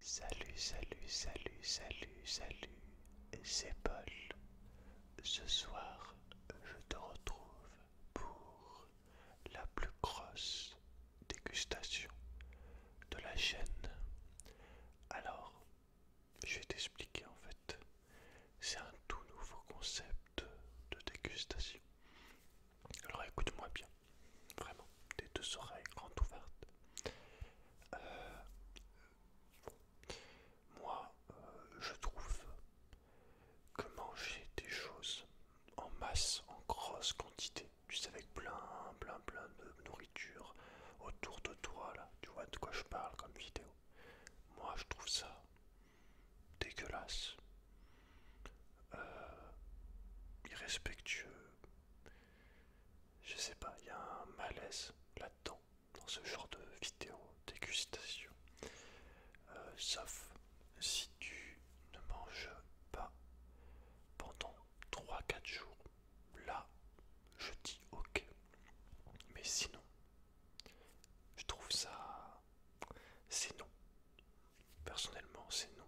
Salut, salut, salut, salut, salut, c'est Paul. Ce soir, je te retrouve pour la plus grosse dégustation de la chaîne. Alors, je vais t'expliquer en fait. C'est un tout nouveau concept de dégustation. Alors écoute-moi bien. Vraiment, des deux oreilles grandes ouvertes. Euh, moi, euh, je trouve que manger des choses en masse, en grosse quantité, tu sais, avec plein, plein, plein de nourriture autour de toi, là, tu vois de quoi je parle comme vidéo. Moi, je trouve ça dégueulasse, euh, irrespectueux, je sais pas, il y a un malaise là-dedans, dans ce genre de vidéo dégustation. Euh, sauf si tu ne manges pas pendant 3-4 jours. Là, je dis ok. Mais sinon, je trouve ça... C'est non personnellement c'est non.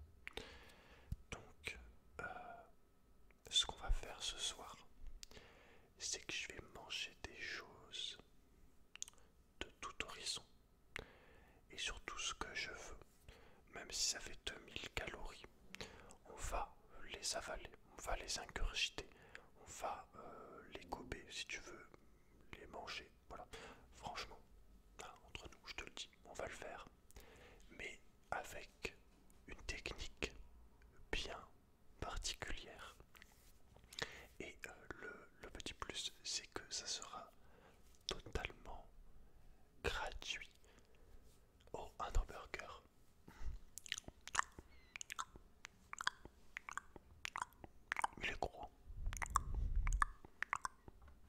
Donc euh, ce qu'on va faire ce soir, c'est que je vais manger des choses de tout horizon et surtout ce que je veux, même si ça fait 2000 calories, on va les avaler, on va les ingurgiter, on va euh, les gober si tu veux, les manger, voilà, franchement, hein, entre nous, je te le dis, on va le faire mais avec une technique bien particulière. Et euh, le, petit plus, c'est que ça sera totalement gratuit. au un hamburger. Il est gros.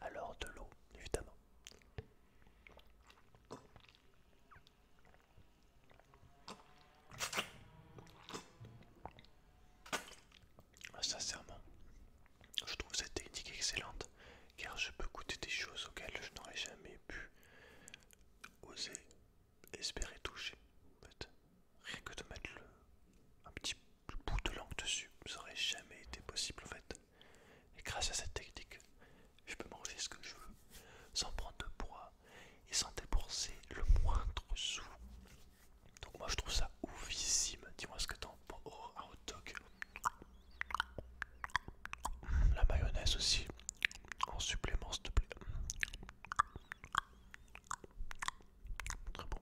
Alors de l'eau, évidemment. Sincèrement, je trouve cette technique excellente car je peux goûter des choses auxquelles je n'aurais jamais pu oser espérer toucher. En rien que de mettre un petit bout de langue dessus, ça aurait jamais été possible en fait. Et grâce à cette technique, je peux manger ce que je veux sans prendre de poids et sans dépenser le moindre sou. Donc moi je trouve ça oufissime. Dis-moi ce que t'en penses. à oh, un La mayonnaise aussi. En supplément s'il te plaît. Très bon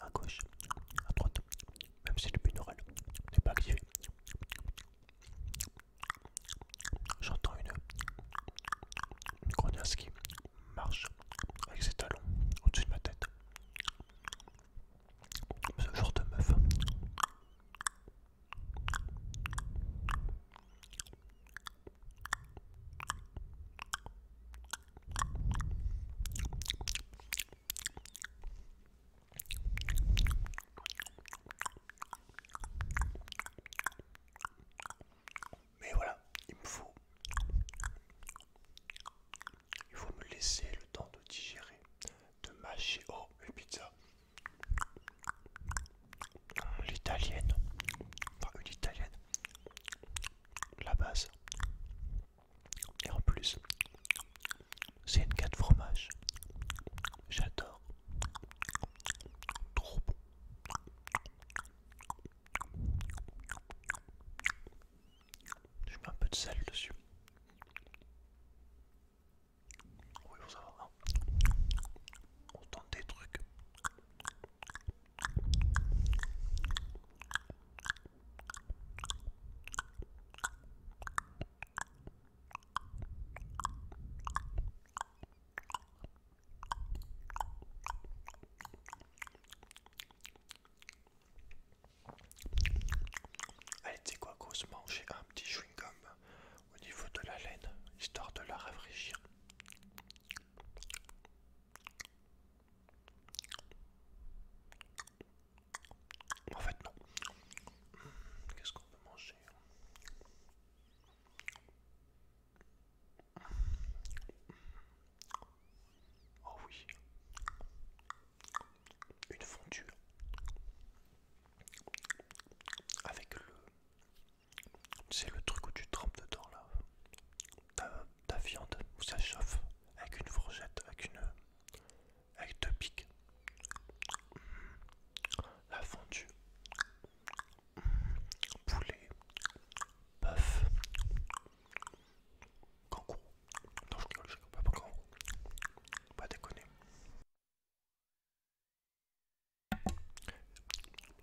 à gauche, à droite, même si le binaural n'est pas activé. J'entends une, une grenasse qui marche avec ses talons au-dessus de ma tête. Ce genre de meuf. Mais voilà, il me faut... Il faut me laisser le temps de digérer, de mâcher. Oh, une pizza. L'italienne. Mmh, enfin, une italienne la base. Et en plus, c'est une de fromage. J'adore. Trop bon. Je mets un peu de sel dessus. Oui, va. Hein. des trucs. Allez, c'est quoi, grosse mange un petit chewing-gum au niveau de la laine, histoire de la rafraîchir. En fait, non. Qu'est-ce qu'on peut manger hein? Oh oui. Une fondue avec le c'est le truc où tu trempes dedans là. Ta, viande, où ça chauffe avec une fourchette, avec une. avec deux pics. La fondue. Poulet. Bœuf. Kangourou. Non, je rigole, je rigole pas, pas kangourou. Pas déconner.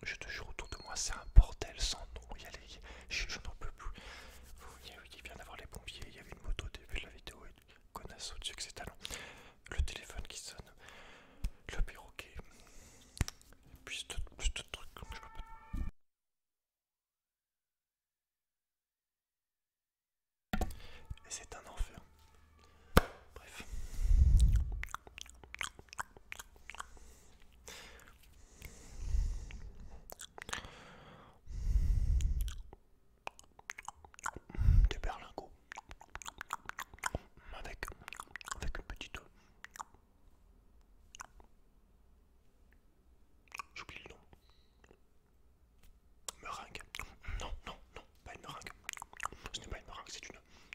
Je te jure, autour de moi, c'est un bordel sans nom. y a les... Je, je n'en peux plus. Oh, il, vient d'avoir les pompiers, il y avait une moto au début de la vidéo et connasse au-dessus que c'est talent Le téléphone qui sonne, le perroquet, et puis plus de Et c'est un enfer. Bref. Des berlingots avec, avec petit petite. J'oublie le nom. Meringue. Non, non, non, pas une meringue. Ce n'est pas une meringue, c'est une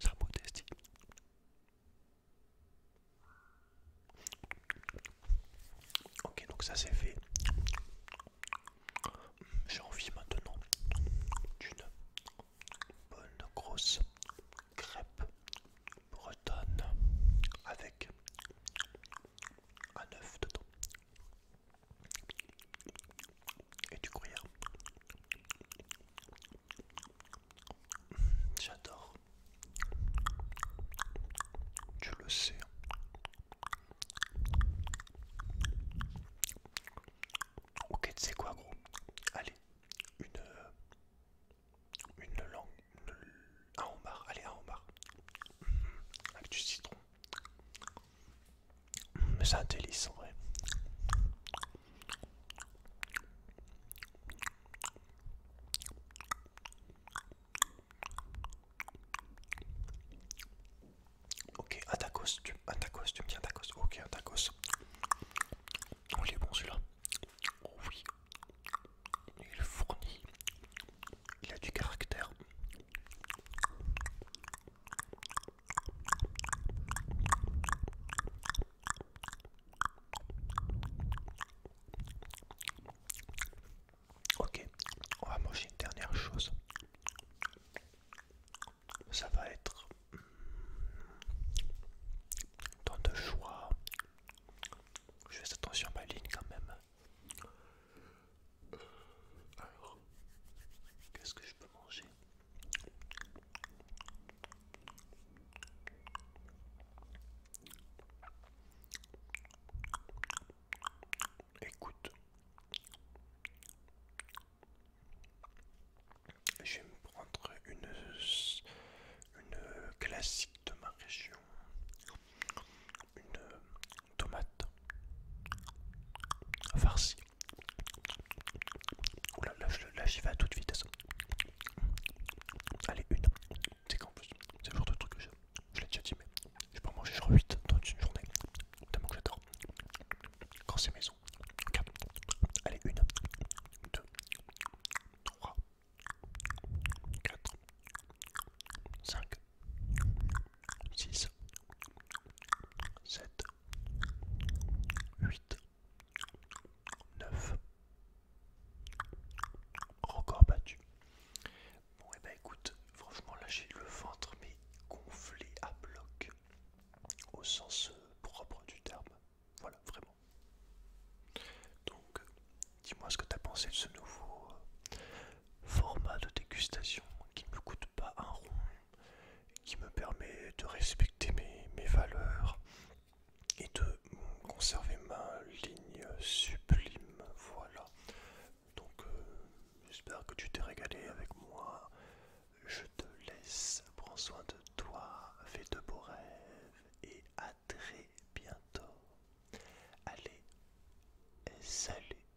ça peut tester, Ok, donc ça c'est fait. J'ai envie maintenant d'une bonne grosse crêpe bretonne avec un œuf dedans et du gruyère J'adore. Tu le sais. Ok, tu sais quoi, gros Allez, une. Euh, une langue. un homard. Allez, un homard. Mhm. Avec du citron. Mais c'est un délice en vrai. Ok, un tacos, tu, tu me dis un tacos, ok, un tacos. Oh, il est bon celui-là. Oh, oui, il est fourni, il a du caractère. Ok, on va manger une dernière chose. Ça va être hmm, tant de choix. Je fais attention à ma ligne quand même. Alors, qu'est-ce que je peux manger Écoute, je vais me prendre une, une classique de ma région, une tomate farci. Là, là, là j'y vais à toute vitesse. Allez, une. C'est quand c'est le genre de truc que j'ai Je l'ai déjà dit, mais je peux en manger genre 8 dans une journée. Tellement que j'adore. Quand c'est maison, Allez, une, deux, trois, quatre, cinq, six, sept, 8, 9. Encore battu. Bon, et eh bah ben, écoute, franchement, là j'ai le ventre, mais gonflé à bloc, au sens euh, propre du terme. Voilà, vraiment. Donc, dis-moi ce que t'as pensé de ce nouveau euh, format de dégustation qui ne me coûte pas un rond qui me permet de respecter mes, valeurs et de conserver ma ligne sublime. Voilà. Donc euh, j'espère que tu t'es régalé avec moi. Je te laisse. Prends soin de toi. Fais de beaux rêves. Et à très bientôt. Allez. Salut.